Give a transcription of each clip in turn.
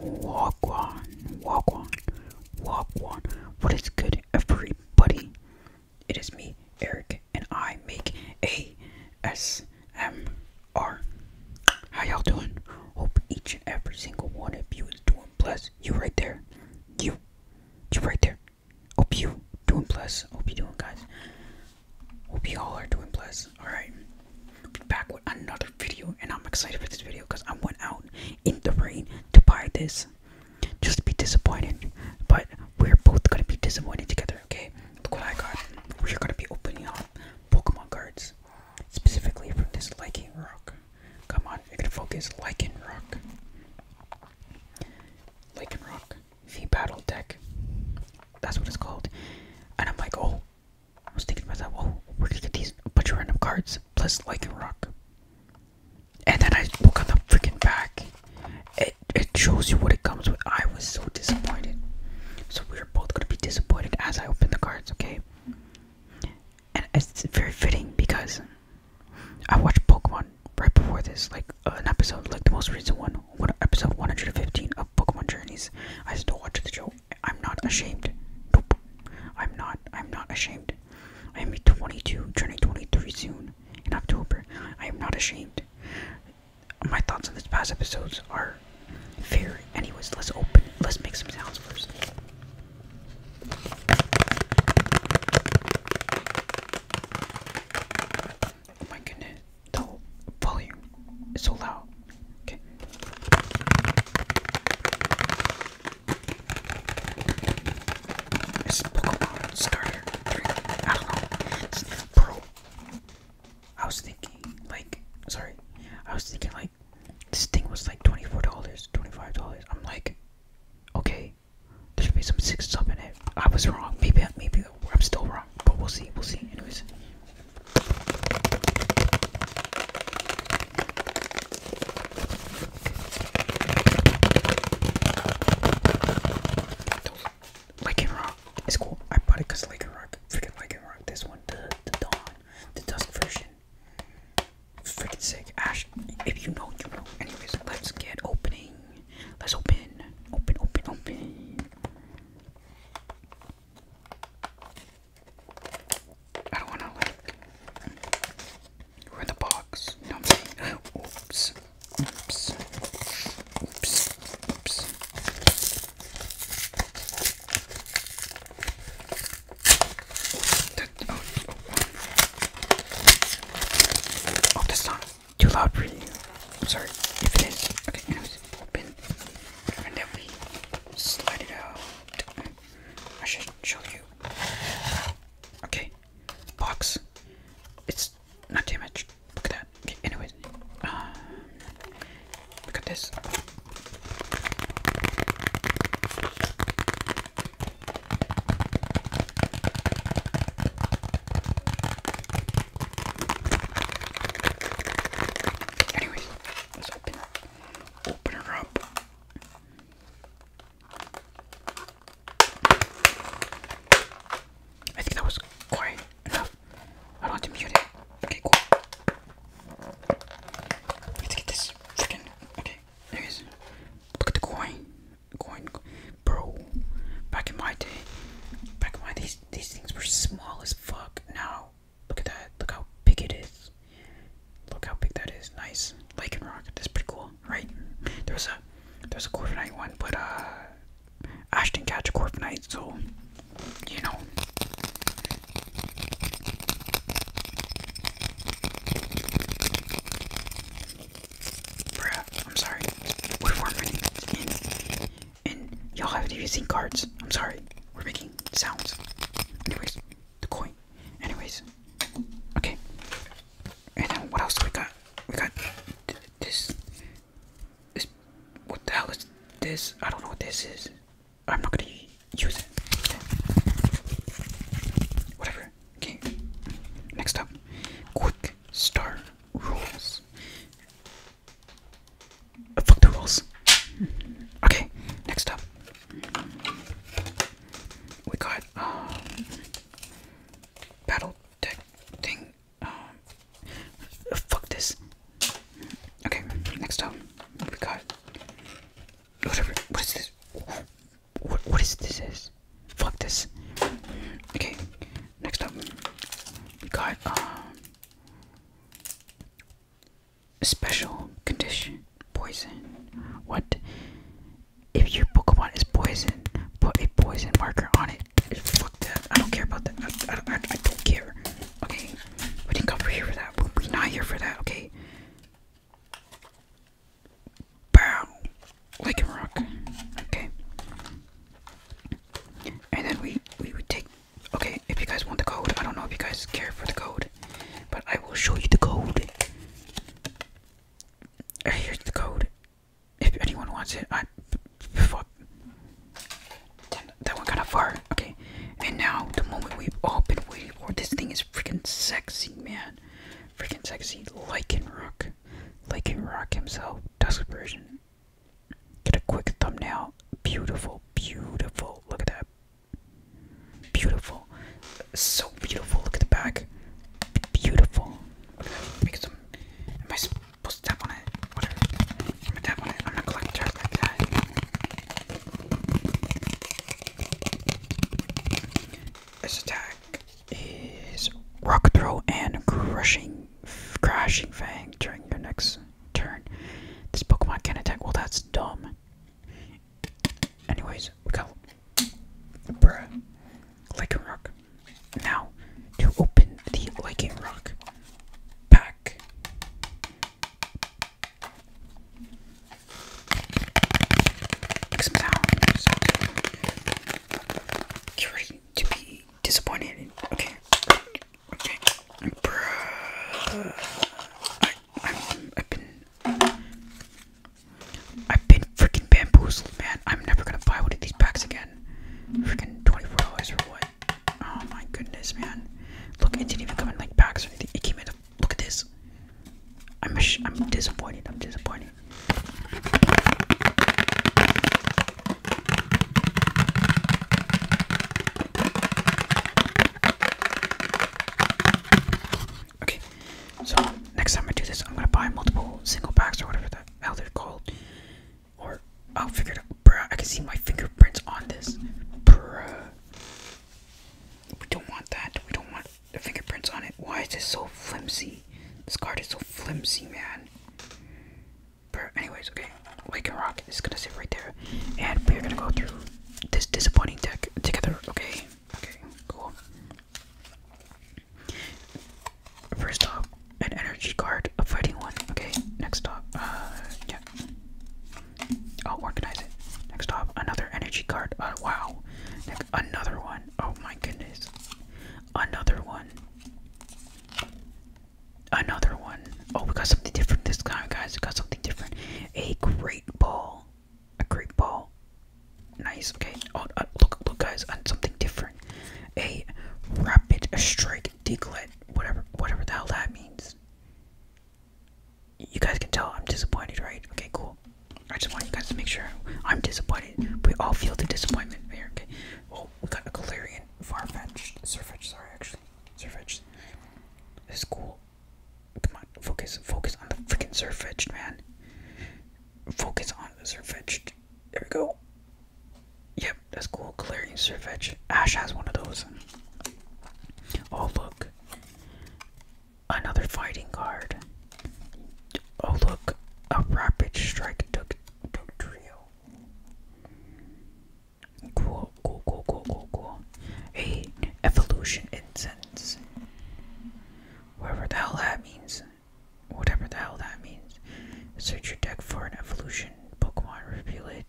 Walk on, walk on, walk on. What is good, everybody? It is me, Eric, and I make ASMR. How y'all doing? Hope each and every single one of you is doing blessed. You right there. You. You right there. Hope you doing blessed. Hope you doing, guys. Hope you all are doing blessed. Alright. Be back with another video and I'm excited for this video because I went out in the rain to buy this. Just be disappointed. But we're both gonna be disappointed together, okay? Look what I got. We're gonna be opening up Pokemon cards. Specifically from this Lichen Rock. Come on, you're to focus Lichen Rock. Lichen Rock. V Battle Deck. That's what it's called. And I'm like, oh, I was thinking about that. Whoa, where did you get these? A bunch of random cards. Plus, like a rock. And then I look on the freaking back. It it shows you what it comes with. I was so disappointed. So we are both gonna be disappointed as I open the cards, okay? And it's very fitting because I watched Pokemon right before this, like uh, an episode, like the most recent one, episode 115 of Pokemon Journeys. I still watch the show I'm not ashamed. Nope. I'm not. I'm not ashamed. I am 22, turning 23 soon in October. I am not ashamed. My thoughts on these past episodes are fair. Anyways, let's open. Let's make some sounds first. Oh my goodness, the volume is so loud. Okay. It's Pokemon Starter I don't know. It's I was thinking, like, sorry. I was thinking, like, this thing was like $24, $25. I'm like, okay, there should be some six up in it. I was wrong. Maybe, maybe I'm still wrong, but we'll see. We'll see. Anyways, like and cool. I bought it because Like and Rock, freaking Like and Rock. This one, the, the Dawn, the Dusk version. Freaking sick. Ash, if you know, you know. Anyways, let's get opening. Let's open. Open, open, open. I don't wanna like ruin the box. Oops. Oops. Oops. Oops. oh, oh, oh, oh too loud for you. sorry if it is. Okay, open. And then we slide it out. I should show you. Okay, box. It's not damaged. Look at that. Okay, anyways, look um, at this. Anyways, let's open up open her up. I think that was quiet enough. I do to mute it. Okay, cool. Let's get this freaking. Okay, there it is. Look at the coin. Coin, bro. Back in my day, back in my days, these things were small as fuck. Now Look at that. Look how big it is. Look how big that is. Nice. Lycan rock. That's pretty cool, right? There was a there's a Corviknight one, but uh Ashton did catch a Corviknight, so you know. Bruh, I'm sorry. Woodworming in and y'all haven't even seen cards. I'm sorry. We're making sounds. Anyways, the coin. Anyways, okay. And then what else we got? We got this. This. What the hell is this? I don't know what this is. I'm not gonna use it. Whatever. Okay. Next up, quick star rules fuck the rules. Okay, next up. We got um, battle deck thing. Uh, fuck this. Okay, next up. We got whatever. What is this? what is this? Is fuck this. Okay, next up. We got um special condition poison. What if your Pokemon is poison? Put a poison marker on it. Fuck that. I don't care about that. I, don't care. Okay, we didn't come here for that. We're not here for that. Okay. Bow, like a rock. Okay. And then we we would take Okay, if you guys want the code, I don't know if you guys care for the code, but I will show you the code. Here's the code. If anyone wants it, I fuck. That went kind of far. Okay, and now the moment we've all been waiting for. This thing is freaking sexy, man. Freaking sexy. Lichen rock. Lichen rock himself. Dusk version. Get a quick thumbnail. Beautiful, beautiful. Look at that. Beautiful. So beautiful. Look at the back. Beautiful. Am I supposed to tap on it? I'm gonna This attack is rock throw and crushing, crashing fang during your next turn. This Pokemon can attack. Well, that's dumb. Anyways, we got bruh, Lycan Rock. Now, to open the Lycan Rock pack. Make some sounds. you ready to be disappointed. Okay. Okay. Bruh. I'm, I've been, I've been freaking bamboozled, man. I'm never gonna buy one of these packs again. Freaking twenty-four dollars for what? Oh my goodness, man. Look, it didn't even come in like packs or anything. It came in. A, look at this. I'm, I'm disappointed. I'm disappointed. Okay, so next time I do this, I'm gonna buy multiple single packs or whatever the hell they're called. Or I'll figure it out. Bruh, I can see my fingerprints on this. Bruh. We don't want that. We don't want the fingerprints on it. Why is this so flimsy? This card is so flimsy, man. Bruh, anyways, okay we can rock. It's gonna sit right there, and we're gonna go through this disappointing deck together. Okay. Okay. Cool. First up, an energy card, a fighting one. Okay. Next up, uh, yeah. I'll organize it. Next up, another energy card. Uh, wow. another one. Oh my goodness. Another one. Another one. Oh, we got something different this guy, guys. We got something different. A great ball. A great ball. Nice. Okay. Oh, uh, look, look, guys, on uh, something different. A rapid strike diglet. Whatever, whatever the hell that means. You guys can tell I'm disappointed, right? Okay, cool. I just want you guys to make sure I'm disappointed. We all feel the disappointment here. Okay. Oh, we got a far Farfetch'd. Surfetch, sorry, actually. Surfetch. This is cool. Come on, focus, focus on the freaking surf man. Focus on the surf edge. There we go. Yep, that's cool. Clearing surf edge. Ash has one of those. Oh, look. Another fighting card. Oh, look. A rapid strike duck, duck trio. Cool, cool, cool, cool, cool, cool. A evolution incense. Whatever the hell that means. Whatever the hell that means. Search your deck for an evolution Pokemon, reveal it,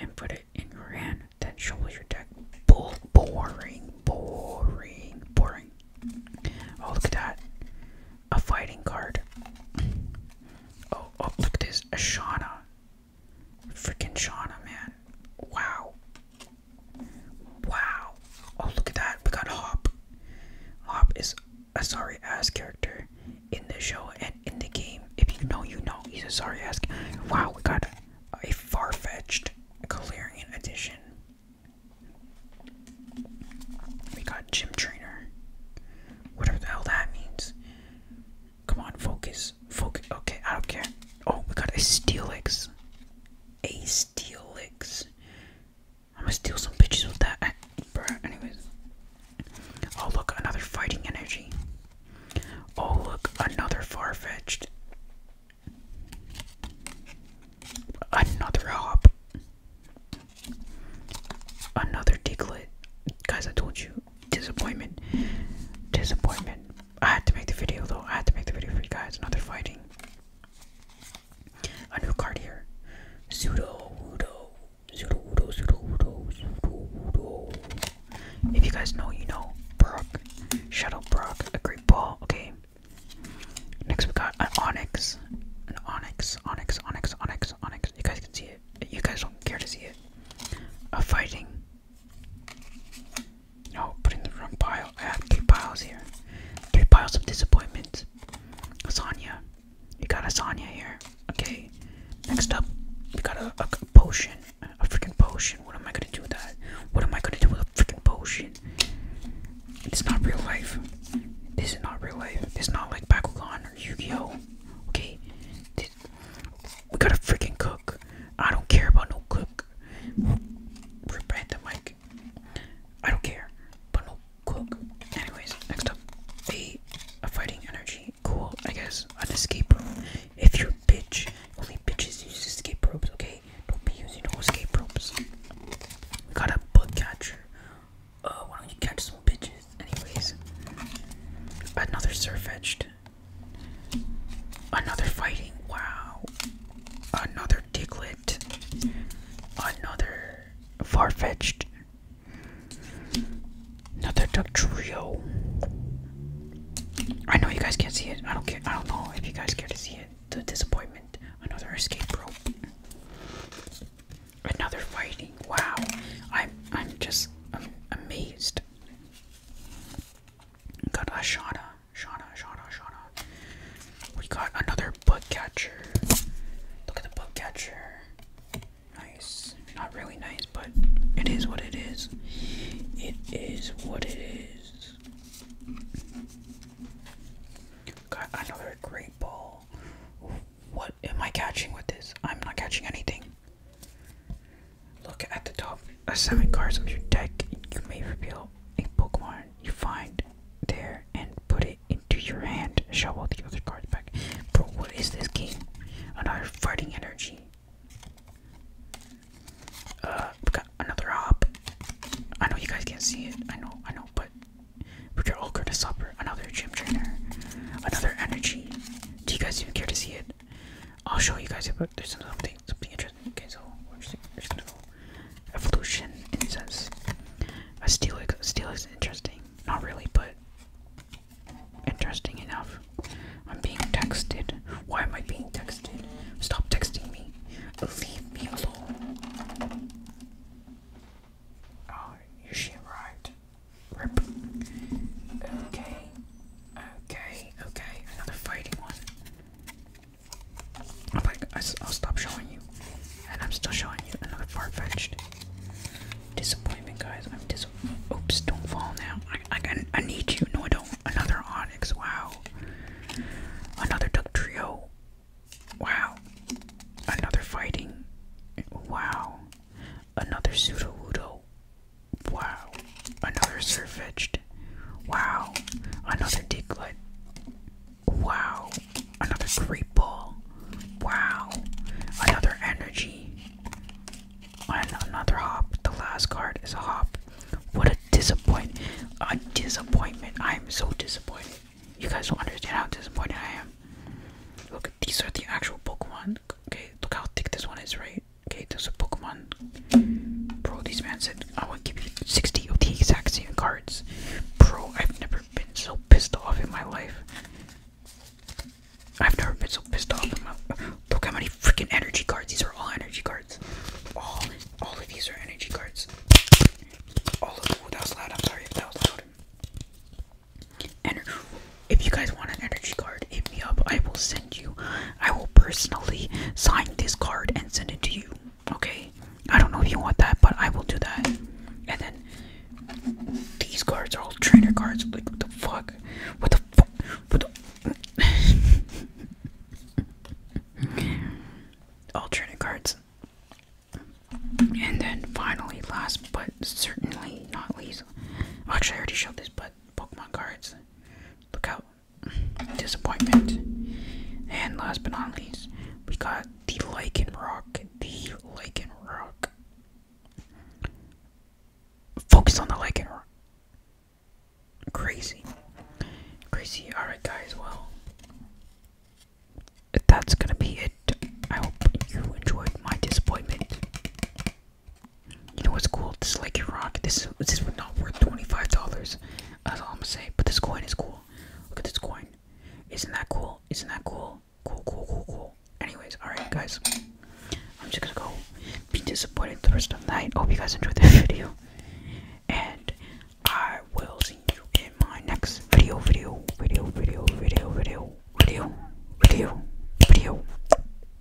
and put it in your hand. Then shuffle your deck. boring, boring, boring. Oh look at that. A fighting card. Oh, oh look at this. Ashana. Freaking Shauna, man. Wow. Wow. Oh, look at that. We got Hop. Hop is a sorry ass character in the show and in the game. If you know, you know. He's a sorry ass. Wow, we got a far fetched Galarian edition. We got Gym Trainer. Whatever the hell that means. Come on, focus focus, Okay, I don't care. Oh, we got a Steelix. A Steelix. I'm gonna steal some bitches with that. Bruh, anyways. Oh, look, another fighting energy. Oh, look, another far fetched. Another hop. Another diglett. Guys, I told you disappointment disappointment i had to make the video though i had to make the video for you guys another fighting a new card here pseudo udo pseudo udo pseudo udo if you guys know you know Brook, shuttle Brook, a great ball okay next we got an onyx an onyx onyx onyx onyx onyx you guys can see it you guys don't care to see it a fighting no, put in the wrong pile. I have three piles here. Three piles of disappointment. Asanya. You got Asanya here. Okay. Next up, we got a, potion. A freaking potion. What am I gonna do with that? What am I gonna do with a freaking potion? It's not real life. This is not real life. It's not like Bakugan or Yu-Gi-Oh! Okay. We gotta freaking cook. I don't care about no cook. Rebrand the mic. I don't care. But no cook. Anyways, next up. A, a fighting energy. Cool, I guess. An escape rope. If you're a bitch, only bitches use escape ropes, okay? Don't be using no escape ropes. We got a bug catcher. Uh, why don't you catch some bitches? Anyways. Another surf edged. Another fighting. Wow. Another diglet, Another Farfetched. Another Duck Trio. I know you guys can't see it. I don't care. I don't know if you guys care to see it. The disappointment. Another escape rope. Another fighting. Wow. I'm I'm just amazed. Got Ashana, Shana, Shana, Shana. We got another bug catcher. Look at the bug catcher. Nice. Not really nice, but it is what it is. It is what it is. Got another great ball. What am I catching with this? I'm not catching anything. Look at the top of seven cards of your deck. You may reveal a Pokemon you find there and put it into your hand. Shovel the other cards back. Bro, what is this game? Another fighting energy. Uh, got another hop. I know you guys can't see it. I know, I know, but we're all going to supper. Another gym trainer. Another energy. Do you guys even care to see it? I'll show you guys about there's something interesting. Okay, so we evolution incense. A steelix steel is interesting. Not really, but interesting enough. I'm being texted. Why am I being texted? Stop texting me. Leave me alone. Oh, ah, your shit arrived. Okay. Okay, okay, another fighting one. I'm like, I'll stop showing you. And I'm still showing you another far-fetched. Disappointment, guys. I'm dis. Oops, don't fall now. I, I, need you. No, I don't. Another Onyx. Wow. Another Duck Trio. Wow. Another fighting. Wow. Another Pseudo Wudo. Wow. Another Surfetched. Wow. Another diglet. Wow. Another Great Ball. Wow. Another Energy. And another Hop. The last card is a Hop. What a disappointment. A disappointment. I am so disappointed. You guys don't understand how disappointed I am. Look, these are the actual Pokemon. Okay, look how thick this one is, right? Okay, there's a Pokemon. Bro, these man said I would give you 60 of the exact same cards. Bro, I've never been so pissed off in my life. I've never been so pissed off in my Look how many freaking energy cards. These are all energy cards. All all of these are energy cards. All of ooh, that was loud. I'm sorry that was loud. Ener if you guys want an energy card, hit me up. I will send you. I will personally sign this card and send it to you. Okay? I don't know if you want that, but I will do that. And then these cards are all trainer cards. Like what the fuck? What the fuck? What the all trainer cards. And then finally, last but certainly not least, actually I already showed this, but Pokemon cards. Look out. Disappointment. And last but not least, we got the Lichen Rock. The Lichen Rock. Focus on the Lichen Rock. Crazy. Crazy. Alright, guys, well. That's gonna be it. I hope you enjoyed my disappointment. You know what's cool? This is like your rock. This this was not worth twenty five dollars. That's all I'm gonna say. But this coin is cool. Look at this coin. Isn't that cool? Isn't that cool? Cool, cool, cool, cool. Anyways, alright guys. I'm just gonna go be disappointed the rest of the night. Hope you guys enjoyed this video. And I will see you in my next video, video, video, video, video, video, video, video, video.